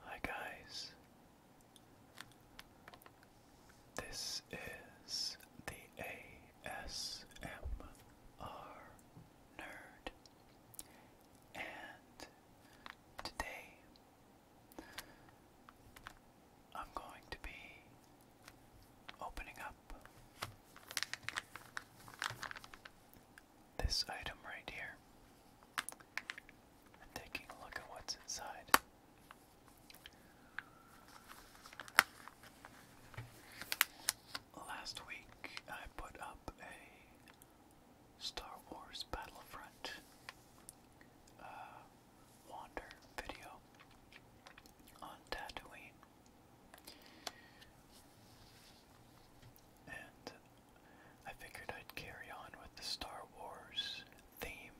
Hi guys. This is the ASMR Nerd, and Today, I'm going to be opening up this item right here and taking a look at what's inside. Last week, I put up a Star Wars Battlefront uh, Wander video on Tatooine. And I figured I'd carry on with the Star Wars theme.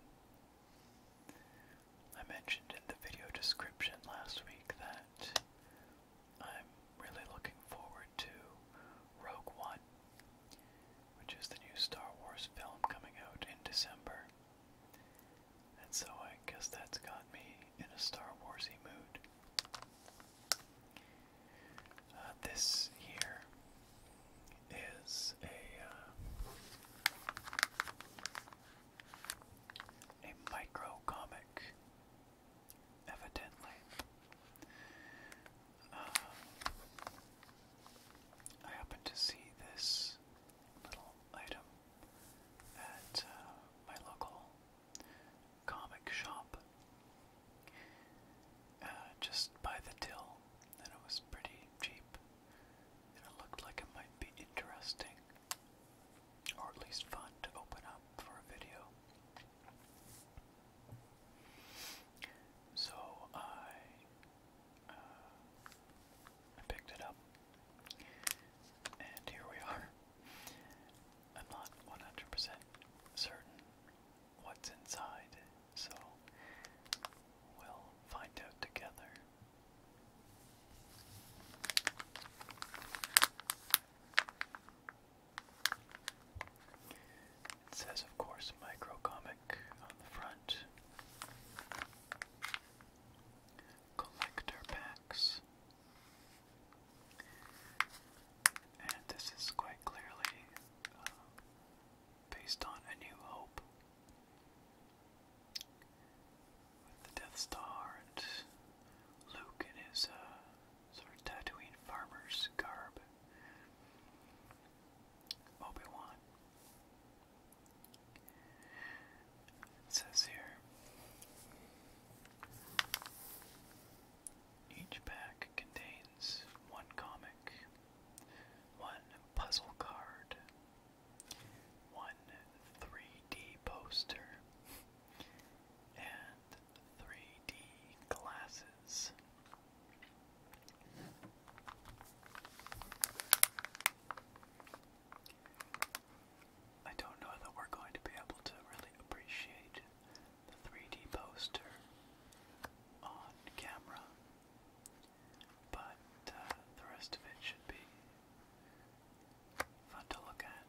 I mentioned in the video description last week that I'm really looking forward to Rogue One, which is the new Star Wars film coming out in December. And so I guess that's got me in a Star Warsy mood. Uh, this here is a uh, a micro comic Evidently. Um, I happen to see this little item at uh, my local comic shop uh, just by the till, and it was pretty cheap, and it looked like it might be interesting, or at least fun to open up for a video. So I uh, picked it up, and here we are. I'm not 100% certain what's inside, so we'll find out together. It says, of course, micro comic on the front. Collector packs. And this is quite clearly uh, based on A New Hope. With the Death Star and Luke and his uh, sort of Tatooine farmer's garb. Obi-Wan. It says here, each pack contains one comic, one puzzle card, one 3D poster, and 3D glasses. I don't know that we're going to be able to really appreciate the 3D poster on camera, but uh, the rest of it should be fun to look at.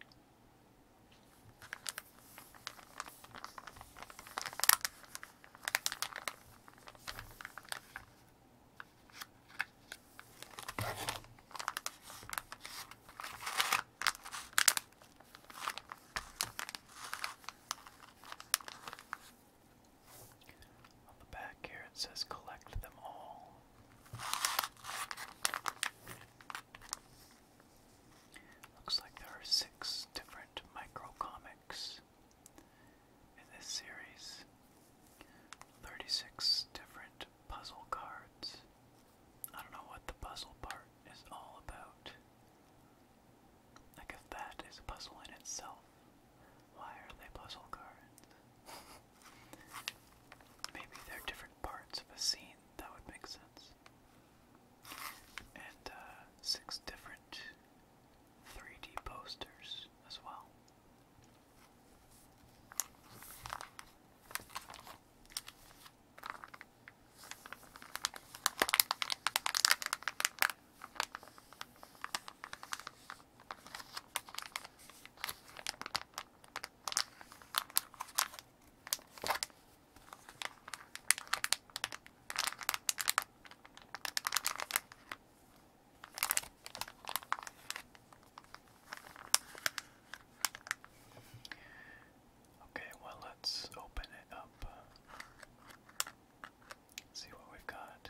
On the back here it says collect them all. Looks like there are six different micro comics in this series. 36 different puzzle cards. I don't know what the puzzle part is all about. Like, if that is a puzzle in itself, why are they puzzle cards? Maybe they're different parts of a scene, that would make sense and uh, six different 3D posters as well. Okay, well, let's open it up. See what we've got.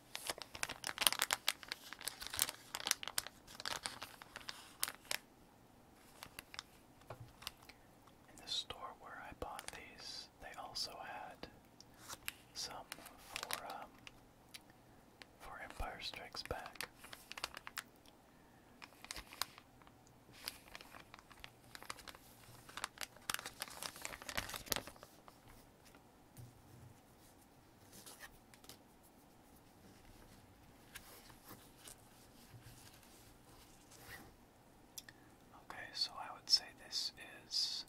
In the store where I bought these, they also had some for um, for Empire Strikes Back. Okay, so I would say this is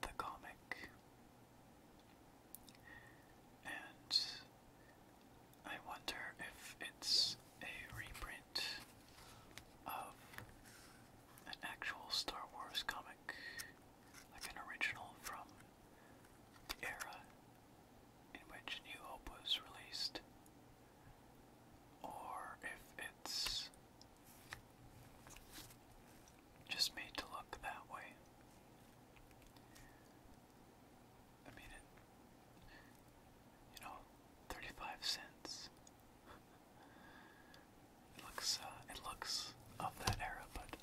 the comic, and I wonder if it's a reprint of an actual Star Wars comic, like an original from the era in which New Hope was released, or if it's just made to look that way. I mean, it, you know, 35 cents. It looks, uh, it looks of that era, but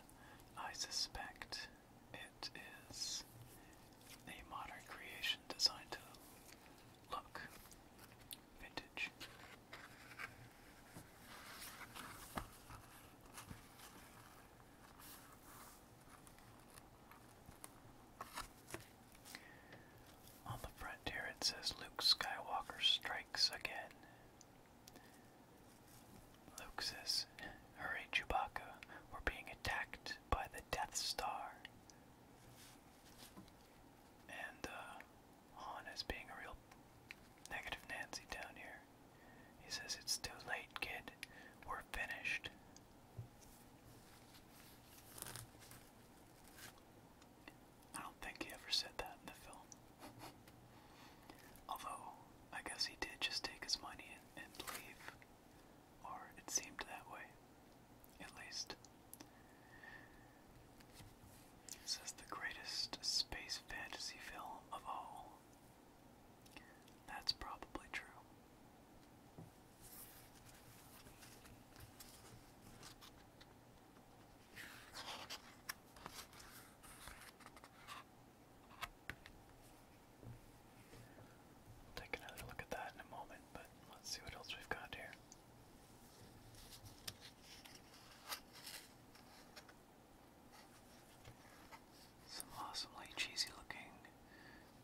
I suspect it is a modern creation designed to look vintage. On the front here it says Luke Skywalker Strike strikes again. Luke says, Hurry, Chewbacca, we're being attacked by the Death Star. And uh, Han is being a real negative Nancy down here. He says, It's too late, kid. We're finished. I don't think he ever said that in the film. Although, I guess he did just take his money and, leave. Or it seemed that way, at least. This is the greatest space fantasy film of all. That's probably true take another look at that in a moment, but let's see what else we've got here. Some awesomely cheesy looking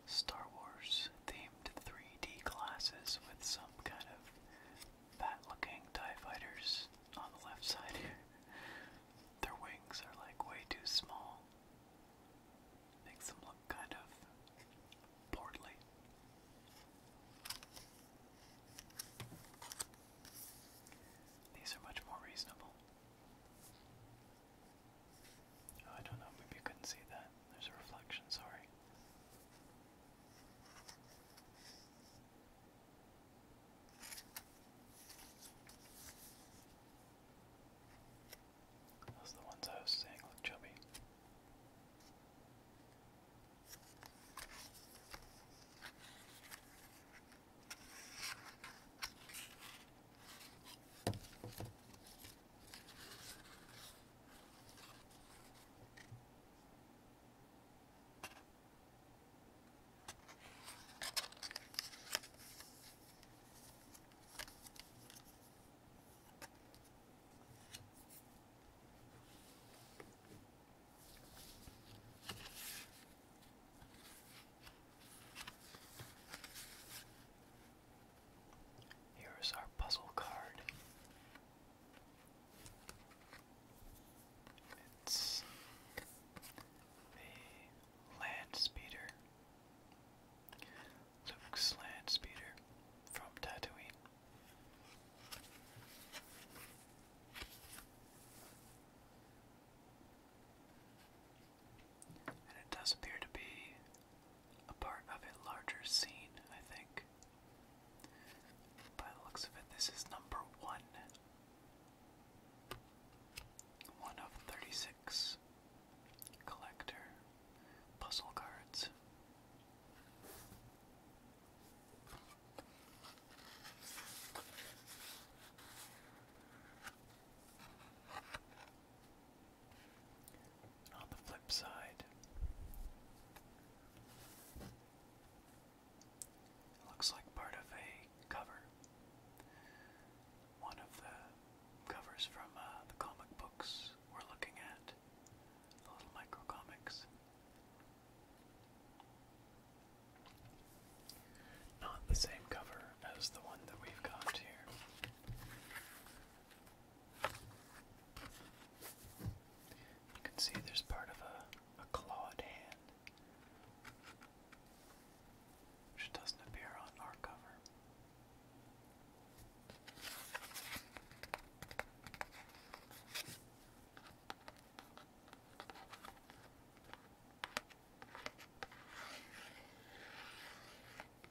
Star Wars themed 3D glasses with some kind of fat looking TIE fighters on the left side here. Their wings are like way too small. Makes them look kind of portly. These are much more reasonable. Oh, I don't know, maybe you couldn't see that. There's a reflection, sorry. Those are the ones I was saying look chubby. Here's our puzzle card. It's a land speeder. Luke's from Tatooine. And it does appear to be a part of a larger scene, I think. By the looks of it, this is number one. One of 36 collector puzzle cards on the flip side, looks like part of a cover. One of the covers from uh, the comic books we're looking at, the little micro comics. Not the same cover as the one that we've got here. You can see there's part of a, clawed hand, which doesn't appear on our cover.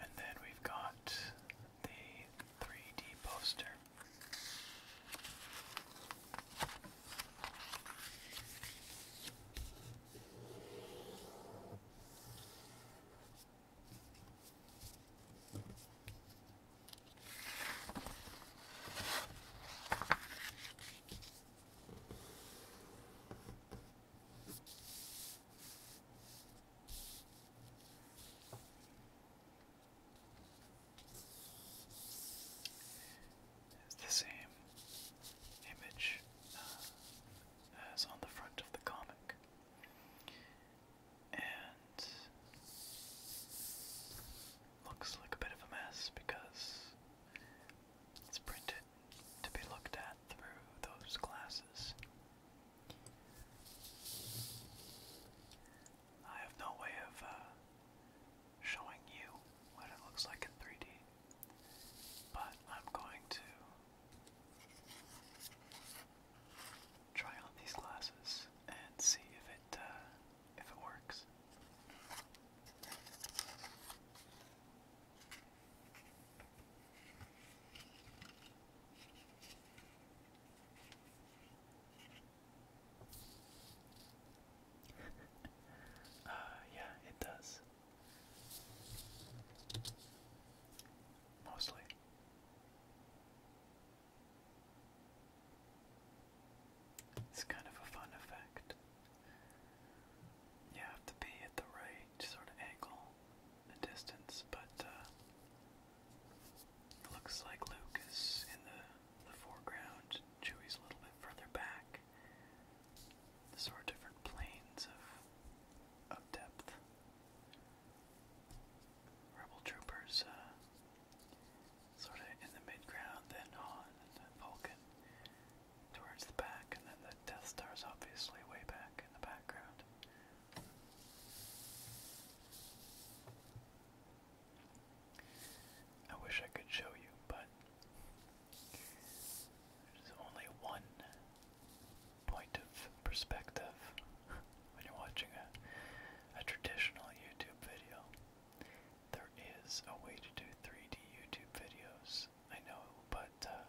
And then we've got the 3D poster. It's the same image uh, as on the front of the comic. And looks like a bit of a mess because it's printed to be looked at through those glasses. I have no way of uh, showing you what it looks like in 3D, but I'm going to try on these glasses and see if it uh, it works. uh, yeah, it does. Mostly. It's kind of a fun effect. You have to be at the right sort of angle and distance, but uh, it looks like Luke in the, the foreground, Chewie's a little bit further back. The sort of different planes of, of depth. Rebel troopers uh, sort of in the midground, then Han, then Vulcan towards the back, and then the Death Star is obviously way back in the background. I wish I could show you, but there's only one point of perspective when you're watching a, a traditional YouTube video. There is a way to do 3D YouTube videos, I know, but uh,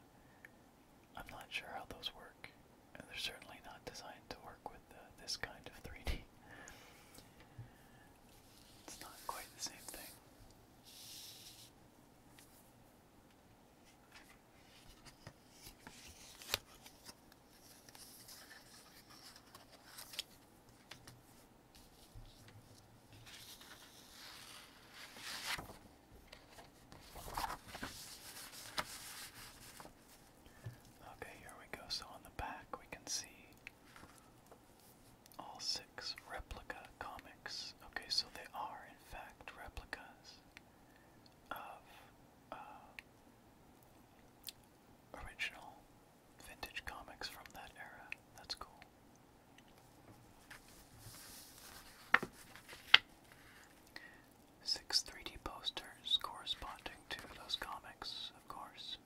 I'm not sure how those work. And they're certainly not designed to work with uh, this kind of 3D. It's not quite the same thing. Okay, here we go. So on the back, we can see all six replica comics. Okay, so they are, in fact, replicas of uh, original vintage comics from that era. That's cool. Six 3D posters corresponding to those comics, of course.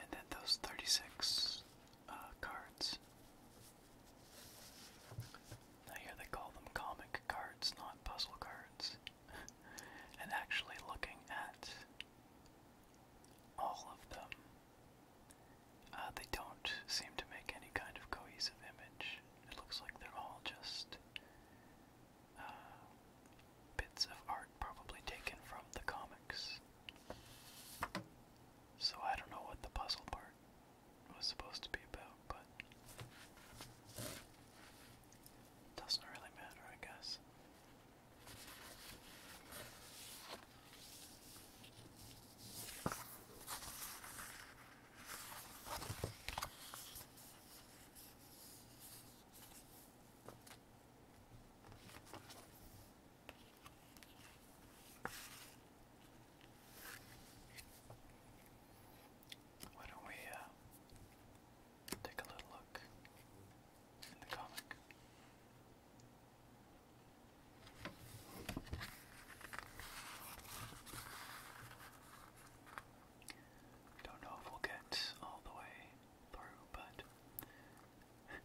And then those 36 uh, cards I hear they call them comic cards, not puzzle cards. and actually looking at all of them, uh, they don't seem to make any kind of cohesive image. It looks like they're all just uh, bits of art probably taken from the comics. So I don't know what the puzzle part was supposed to be about, but doesn't really matter, I guess. Why don't we uh, take a little look in the comic? Don't know if we'll get all the way through, but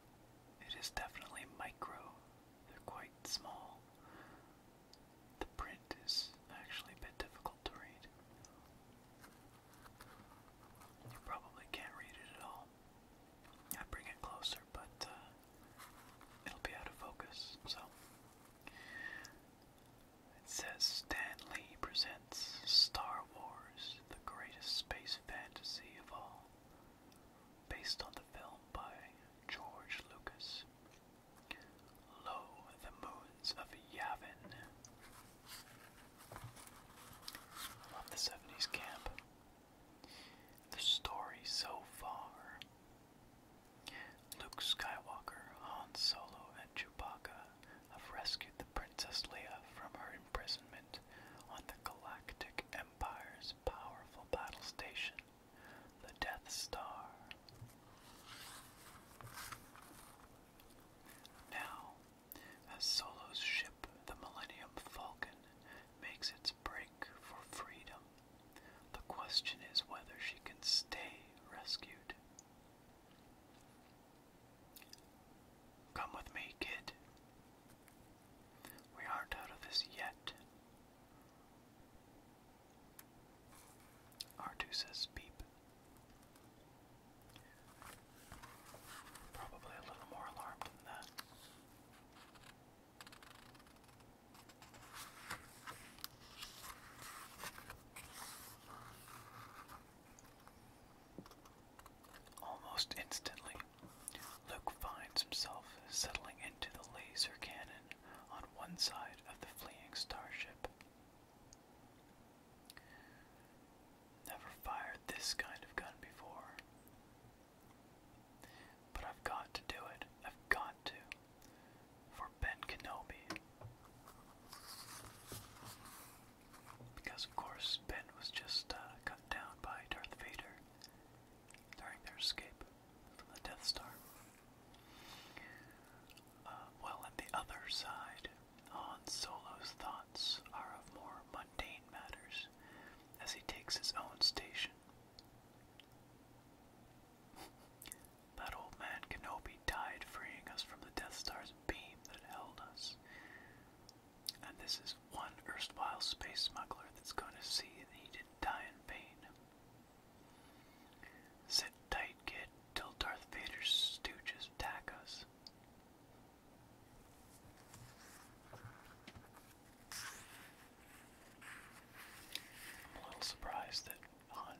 it is definitely micro they're quite small. The print is actually a bit difficult to read. You probably can't read it at all. I bring it closer, but uh, it'll be out of focus, so. It says "Stanley presents Star Wars, the greatest space fantasy of all based on the film by George Lucas. Lo, the Moons of Yavin. I the 70s camp. The story so far. Luke Skywalker, Han Solo, and Chewbacca have rescued the Princess Leia from her imprisonment on the Galactic empire. Empire's powerful battle station, the Death Star. Now, as Solo's ship, the Millennium Falcon, makes its break for freedom, the question is whether she can stay rescued. Come with me, kid. We aren't out of this yet. r says beep. Probably a little more alarmed than that. Almost instantly, Luke finds himself settling into the laser cannon on one side of the fleeing starship. Never fired this kind of gun before. But I've got to do it. I've got to. For Ben Kenobi. Because, of course, Ben was just uh, cut down by Darth Vader during their escape from the Death Star. Uh, while on the other side, Han Solo's thoughts are of more mundane matters as he takes his own station. that old man Kenobi died freeing us from the Death Star's beam that held us. And this is one erstwhile space smuggler that's going to see that he didn't die in vain. Sit tight, kid, till Darth Vader's stooges attack us. I'm a little surprised that Han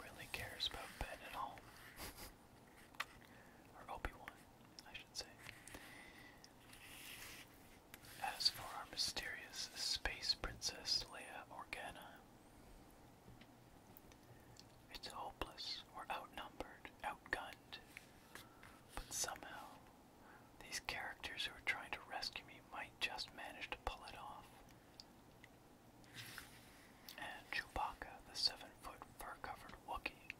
really cares about Ben at all. or Obi Wan, as for our mysterious space princess Leia Organa, it's hopeless. We're outnumbered, outgunned. But somehow, these characters who are trying to rescue me might just manage to pull it off. And Chewbacca, the seven foot fur covered Wookie.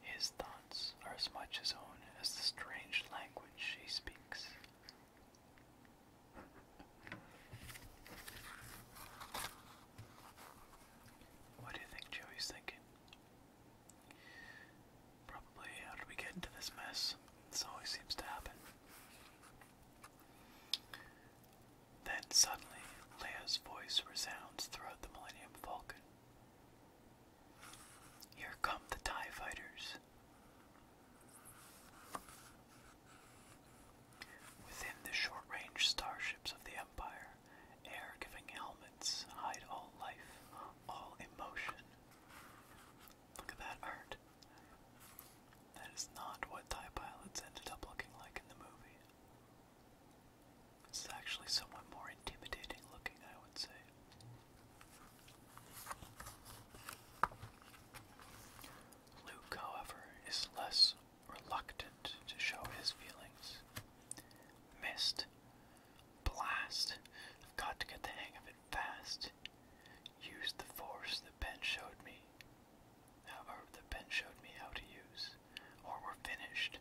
His thoughts are as much his own as the strange language she speaks. What do you think Joey's thinking? Probably, how did we get into this mess? This always seems to happen. Then suddenly, Leia's voice resounds throughout the Millennium Falcon. Here come the TIE fighters. Within the short range starships of the Empire, air giving helmets hide all life, all emotion. Look at that art. That is not what TIE pilots ended up looking like in the movie. This is actually somewhat more intimidating looking, I would say. Luke, however, is less reluctant to show his feelings. Mist. Blast. I've got to get the hang of it fast. Use the force that Ben showed me. However, that Ben showed me how to use or we're finished.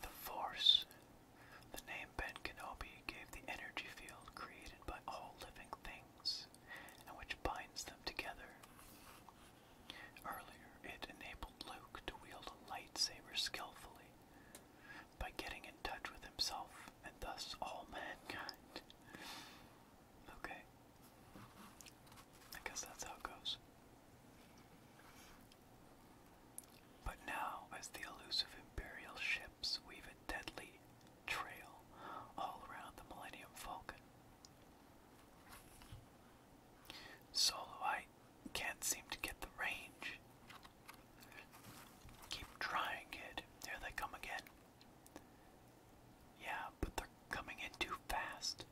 The Force. The name Ben Kenobi gave the energy field created by all living things and which binds them together. Earlier, it enabled Luke to wield a lightsaber skillfully by getting in touch with himself and thus all mankind. Okay. I guess that's how it goes. But now, as the elusive Imperial ships weave a deadly trail all around the Millennium Falcon. Solo, can't seem to get the range. Keep trying, kid. There they come again. Yeah, but they're coming in too fast.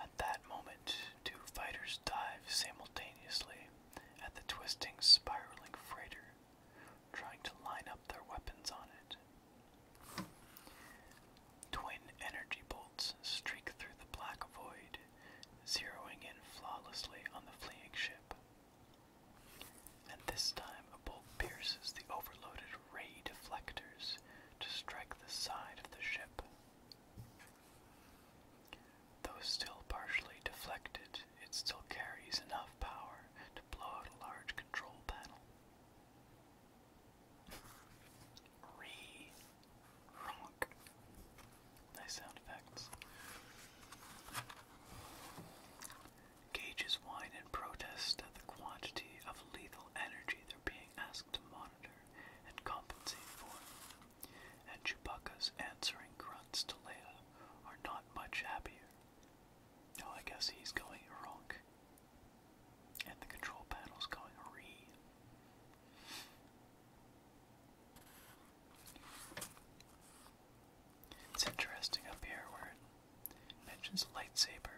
At that moment, two fighters dive simultaneously at the twisting, spiraling freighter, trying to line up their weapons on it. Twin energy bolts streak through the black void, zeroing in flawlessly on the fleeing ship. And this time, a bolt pierces the overloaded ray deflectors to strike the side of the ship. Though still partially deflected, it still carries enough power to blow out a large control panel. Re. Nice sound effects. Gauges whine in protest at the quantity of lethal energy they're being asked to monitor and compensate for. And Chewbacca's answering grunts to Leia are not much happier. Oh, I guess he's going wrong. And the control panel's going re. It's interesting up here where it mentions lightsaber.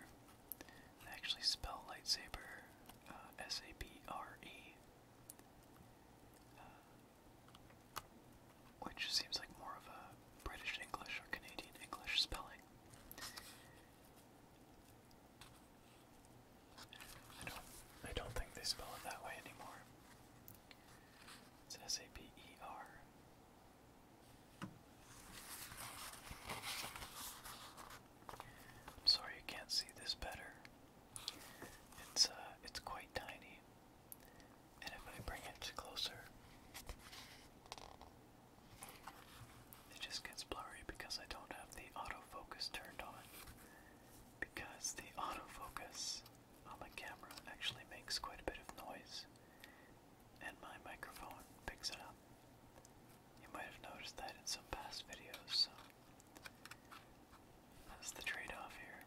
actually spell lightsaber uh, S A B R E, uh, which seems like more of a British English or Canadian English spelling. I don't I don't think they spell it that way anymore. It's S A P E R. I'm sorry you can't see this better. It's uh it's quite tiny. And if I bring it closer, it just gets blurry because I don't have the autofocus turned on because the autofocus on my camera actually makes quite a bit of noise and my microphone picks it up. You might have noticed that in some past videos, so that's the trade off here.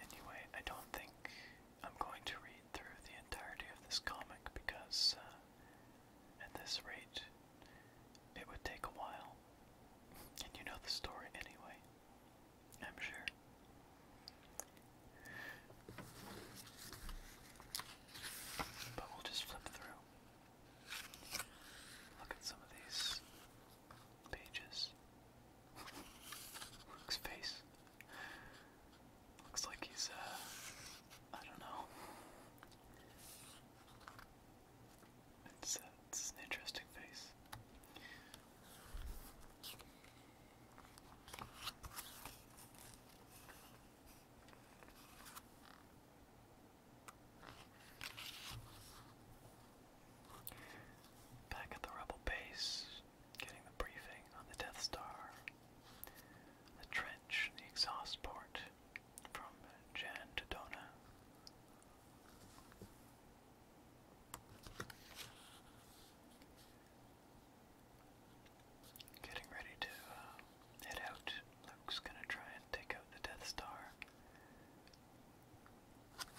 Anyway, I don't think I'm going to read through the entirety of this comic because uh, at this rate, it would take a while. And you know the story anyway, I'm sure. But we'll just flip through. Look at some of these pages. Looks face. Looks like he's, uh, I don't know. it's uh, an interesting face. Back at the rebel base, getting the briefing on the Death Star, the trench, the exhaust port from Jan to Dona. Getting ready to uh, head out. Luke's gonna try and take out the Death Star.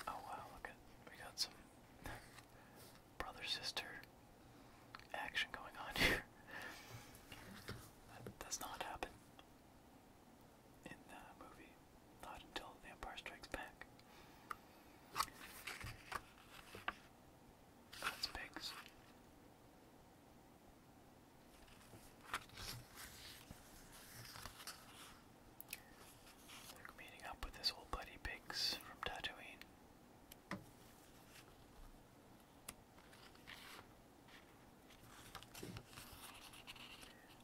Oh wow, look at we got some brother sister action going on here. that does not happen in the movie, not until The Strikes Back. That's pigs. Like meeting up with his old buddy Biggs from Tatooine.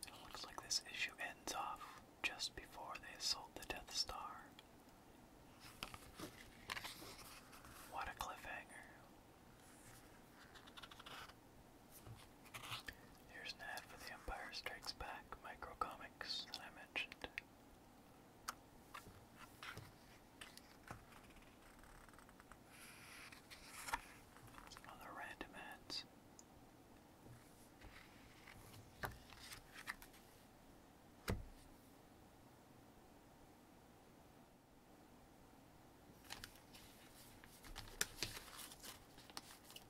It looks like this issue ends off just before they assault the Death Star. What a cliffhanger. Here's an ad for The Empire Strikes Back. Pack Micro Comics that I mentioned. Some other random ads.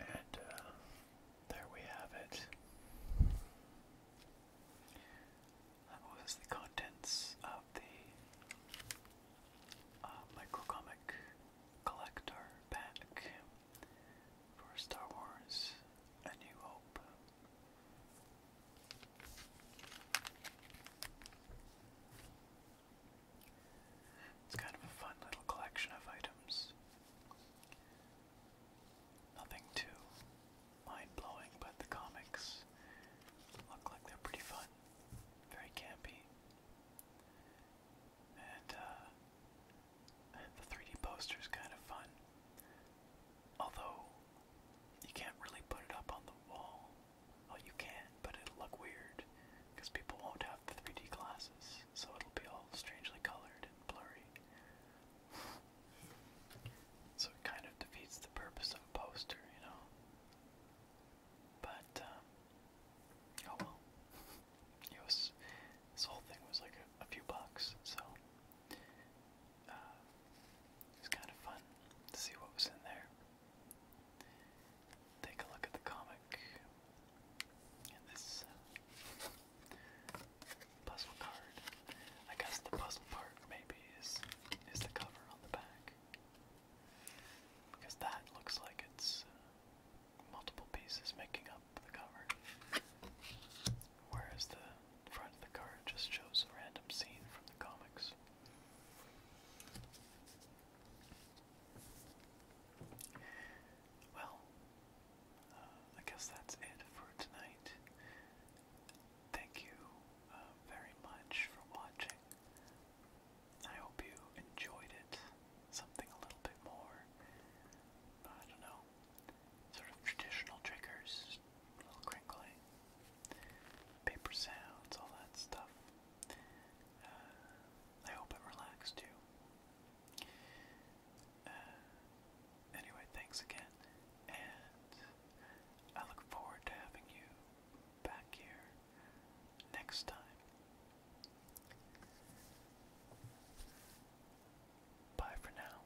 And uh, there we have it. That was the contents of the uh, microcomic collector pack for Star Wars A New Hope. It's kind of a fun little collection of items. Nothing too mind blowing, but the comics look like they're pretty fun, very campy. And uh, the 3D poster is kind of fun, although you can't really put it up on the wall. Well, you can, but it'll look weird because people won't have have the 3D glasses, so it'll be all strangely colored and blurry. so it kind of defeats the purpose of a poster, you know? But, um, oh well. It was, this whole thing was like a, a few bucks, so uh, it was kind of fun to see what was in there take a look at the comic and this uh, puzzle card. I guess the puzzle part maybe is is the cover on the back because that looks like it's uh, multiple pieces making up the cover, whereas the front of the card just shows a random scene from the comics. Well, uh, I guess that's it for tonight. Thank you uh, very much for watching. I hope you enjoyed it. Something a little bit more, I don't know, sort of traditional triggers, little crinkling, paper sounds, all that stuff. Uh, I hope it relaxed you. Uh, anyway, thanks again, and I look forward to having you back here next time. Bye for now.